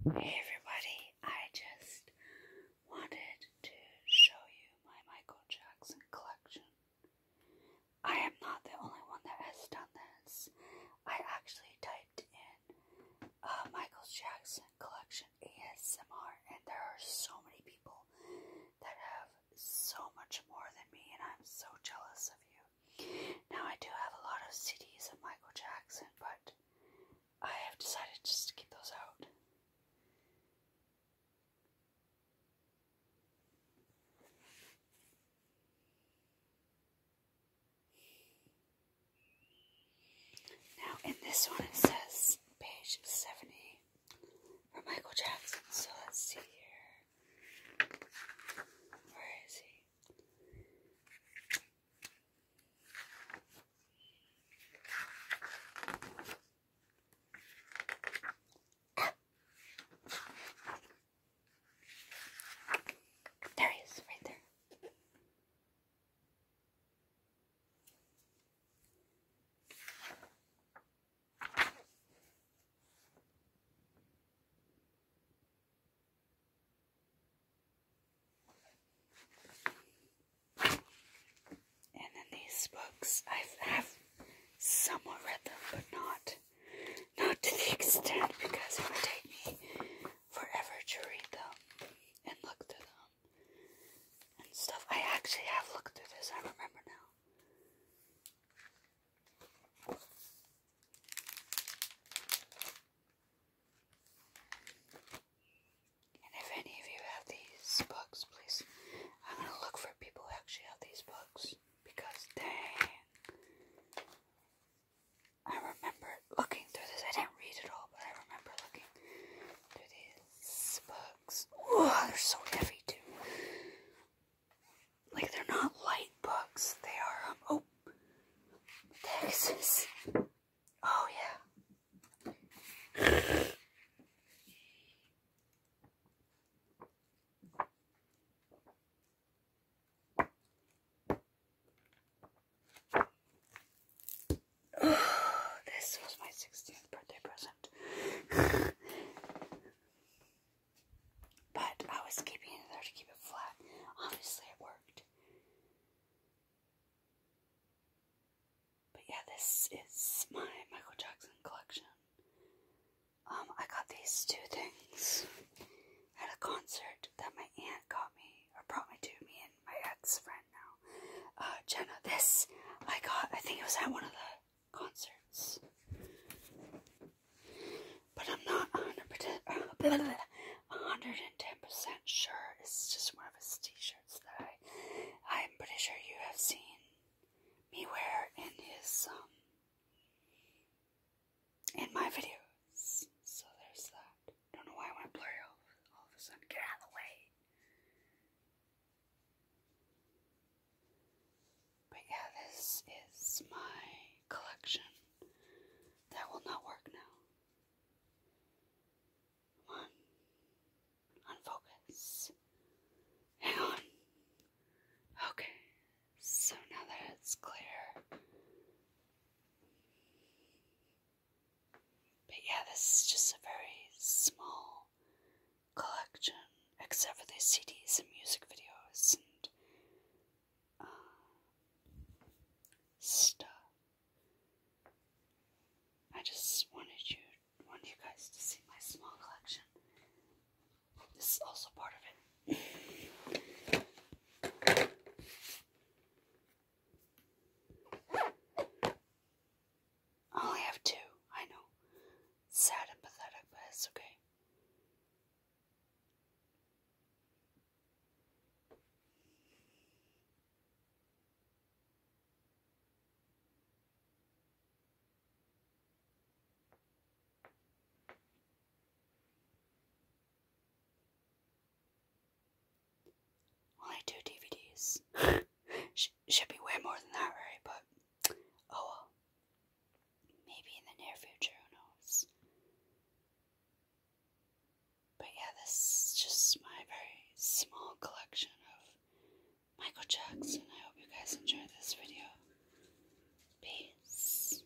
Hey everybody, I just wanted to show you my Michael Jackson collection. I am not the only one that has done this. I actually typed in uh, Michael Jackson collection ASMR and there are so many people that have so much more than me and I'm so jealous of you. Now, I do have a lot of CDs of Michael Jackson, but I have decided just to keep those out. Now, in this one, it says page 70 for Michael Jackson. So let's see here. Where is he? Ah. There he is, right there. And then these books, I have somewhat read them, but not not to the extent because it would take me forever to read them and look through them and stuff. I actually have looked through this, I remember now. And if any of you have these books, please, I'm going to look for people who actually have these books. Because, dang, I remember looking through this. I didn't read it all, but I remember looking through these books. Oh, they're so heavy, too like they're not light books. They are, um, oh, Texas. Oh, yeah. this was my 16th birthday present. but I was keeping it there to keep it flat. Obviously, it worked. But yeah, this is my Michael Jackson collection. Um, I got these two things at a concert that my aunt got me, or brought me to, me and my ex friend now. Uh, Jenna, this I got, I think it was at one of the concerts. But I'm not 110% sure. It's just one of his t-shirts that I, I'm pretty sure you have seen me wear in his, um, in my videos. So there's that. Don't know why I went blurry all of a sudden. Get out of the way. But yeah, this is my collection. That will not work now. Come on. Unfocus. Hang on. Okay. So now that it's clear, but yeah, this is just a very small collection, except for the CDs and music videos and uh, stuff. I just wanted you, wanted you guys to see my small collection. This is also part of it. I only have two, I know. Sad and pathetic, but it's okay. Well, I do DVDs. should be way more than that, right? But oh well. Maybe in the near future, who knows? But yeah, this is just my very small collection of Michael Jackson. I hope you guys enjoyed this video. Peace.